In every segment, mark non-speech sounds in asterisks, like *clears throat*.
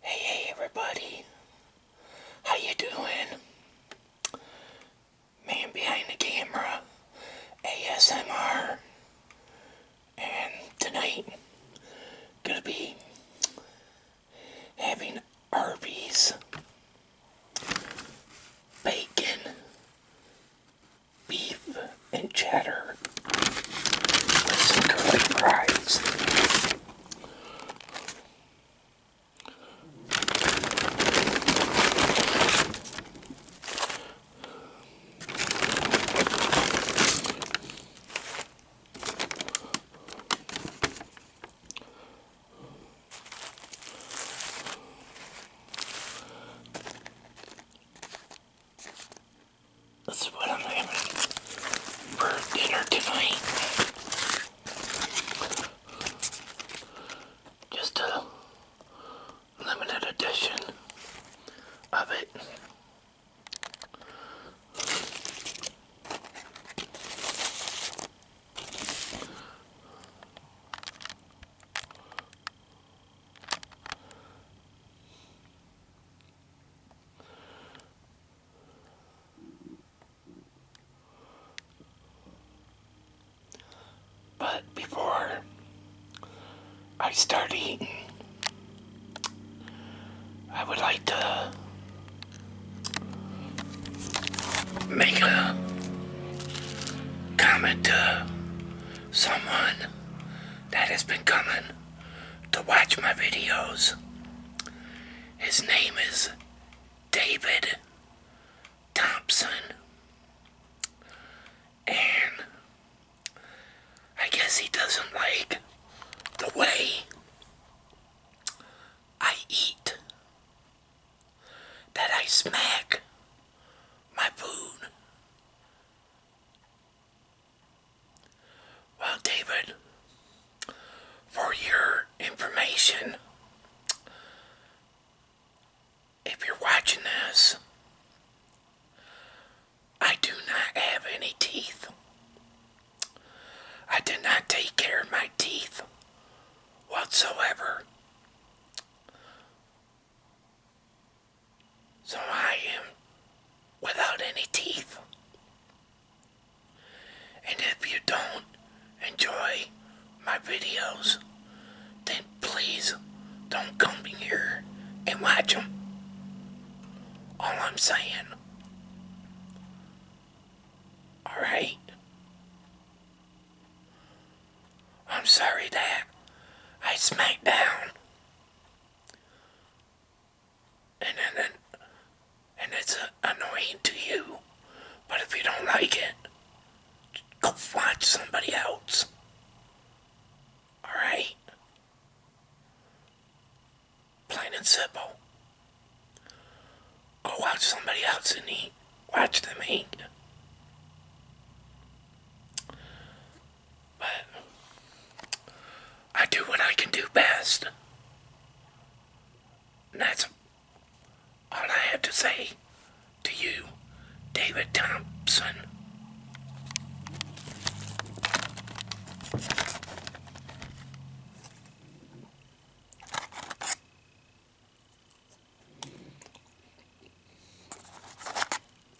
Hey, hey, everybody. How you doing? Man behind the camera, ASMR. And tonight, gonna be having Arby's bacon, beef, and cheddar. Listen to her cries. That's what I'm having for dinner tonight. Just a limited edition of it. But before I start eating, I would like to make a comment to someone that has been coming to watch my videos. His name is David Thompson. And I guess he doesn't like the way I eat, that I smack my food. Well, David, for your information, if you're watching this, I do not have any teeth. I did not take care of my teeth whatsoever. So I am without any teeth. And if you don't enjoy my videos, then please don't come here and watch them. All I'm saying. Alright? I'm sorry that I smacked down and then and it's annoying to you. But if you don't like it, go find somebody else. All right. Plain and simple. Go watch somebody else and eat. Watch them eat. But I do what I can do best. that's all I have to say to you, David Thompson.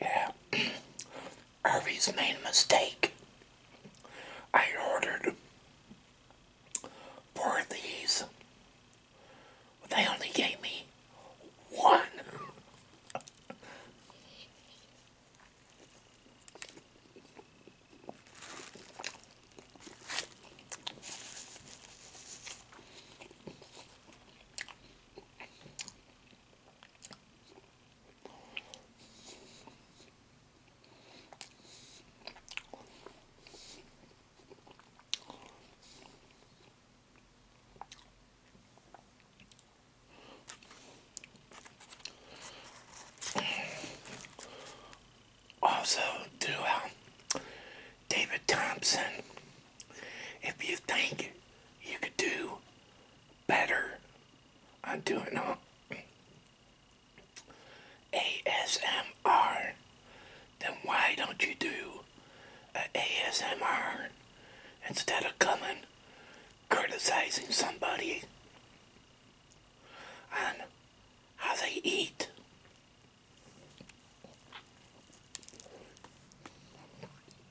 Yeah, Arby's *clears throat* made a mistake. I ordered four of these, but they only gave me one. Also, to uh, David Thompson if you think you could do better on doing uh, a ASMR, then why don't you do a ASMR instead of coming criticizing somebody on how they eat?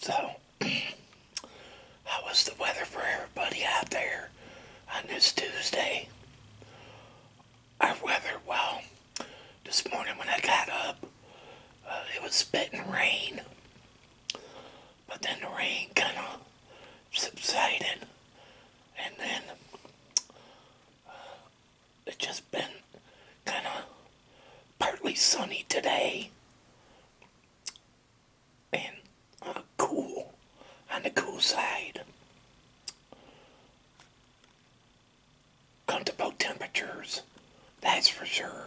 So, *clears throat* how was the weather for everybody out there on this Tuesday? Our weather, well, this morning when I got up, uh, it was spitting rain. But then the rain kind of subsided. And then uh, it just been kind of partly sunny today and uh, cool on the cool side. Comfortable temperatures, that's for sure.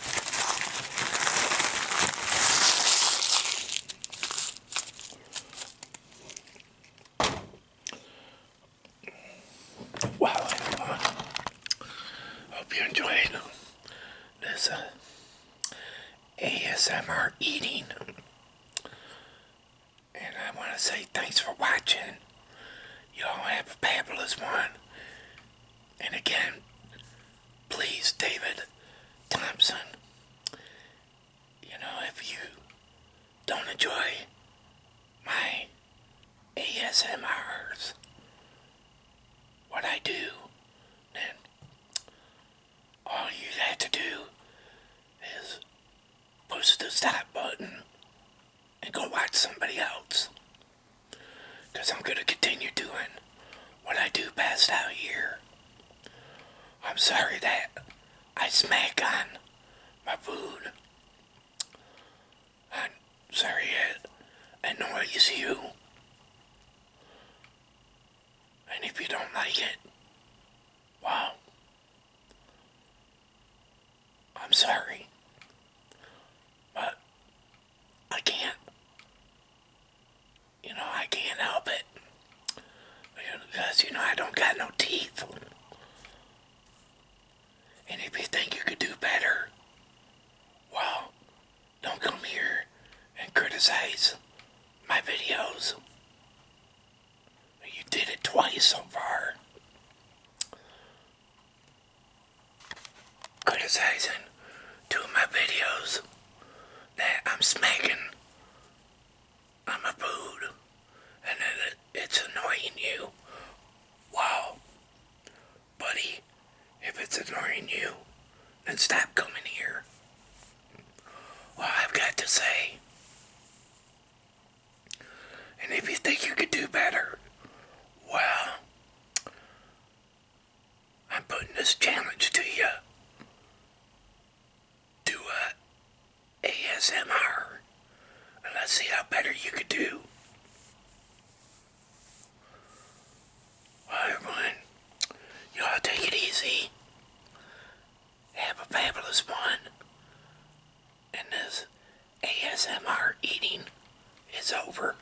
Wow, everyone. Hope you enjoyed this uh, ASMR eating. And I want to say thanks for watching. Y'all have a fabulous one. And again, please, David Thompson, you know, if you don't enjoy my ASMRs, what I do, then all you have to do is push the stop button and go watch somebody else. Because I'm going to continue doing when I do best out here. I'm sorry that I smack on my food. I'm sorry it annoys you. And if you don't like it, wow. I'm sorry. But I can't. You know, I can't help it. Because, you know, I don't got no teeth. And if you think you could do better, well, don't come here and criticize my videos. You did it twice so far. Criticizing two of my videos that I'm smacking I'm a food and that it's annoying you. Wow. Buddy, if it's annoying you, then stop coming here. Well, I've got to say. And if you think you could do better, well, I'm putting this challenge to you. Do a ASMR. And let's see how better you could do. everyone, y'all take it easy. Have a fabulous one. And this ASMR eating is over.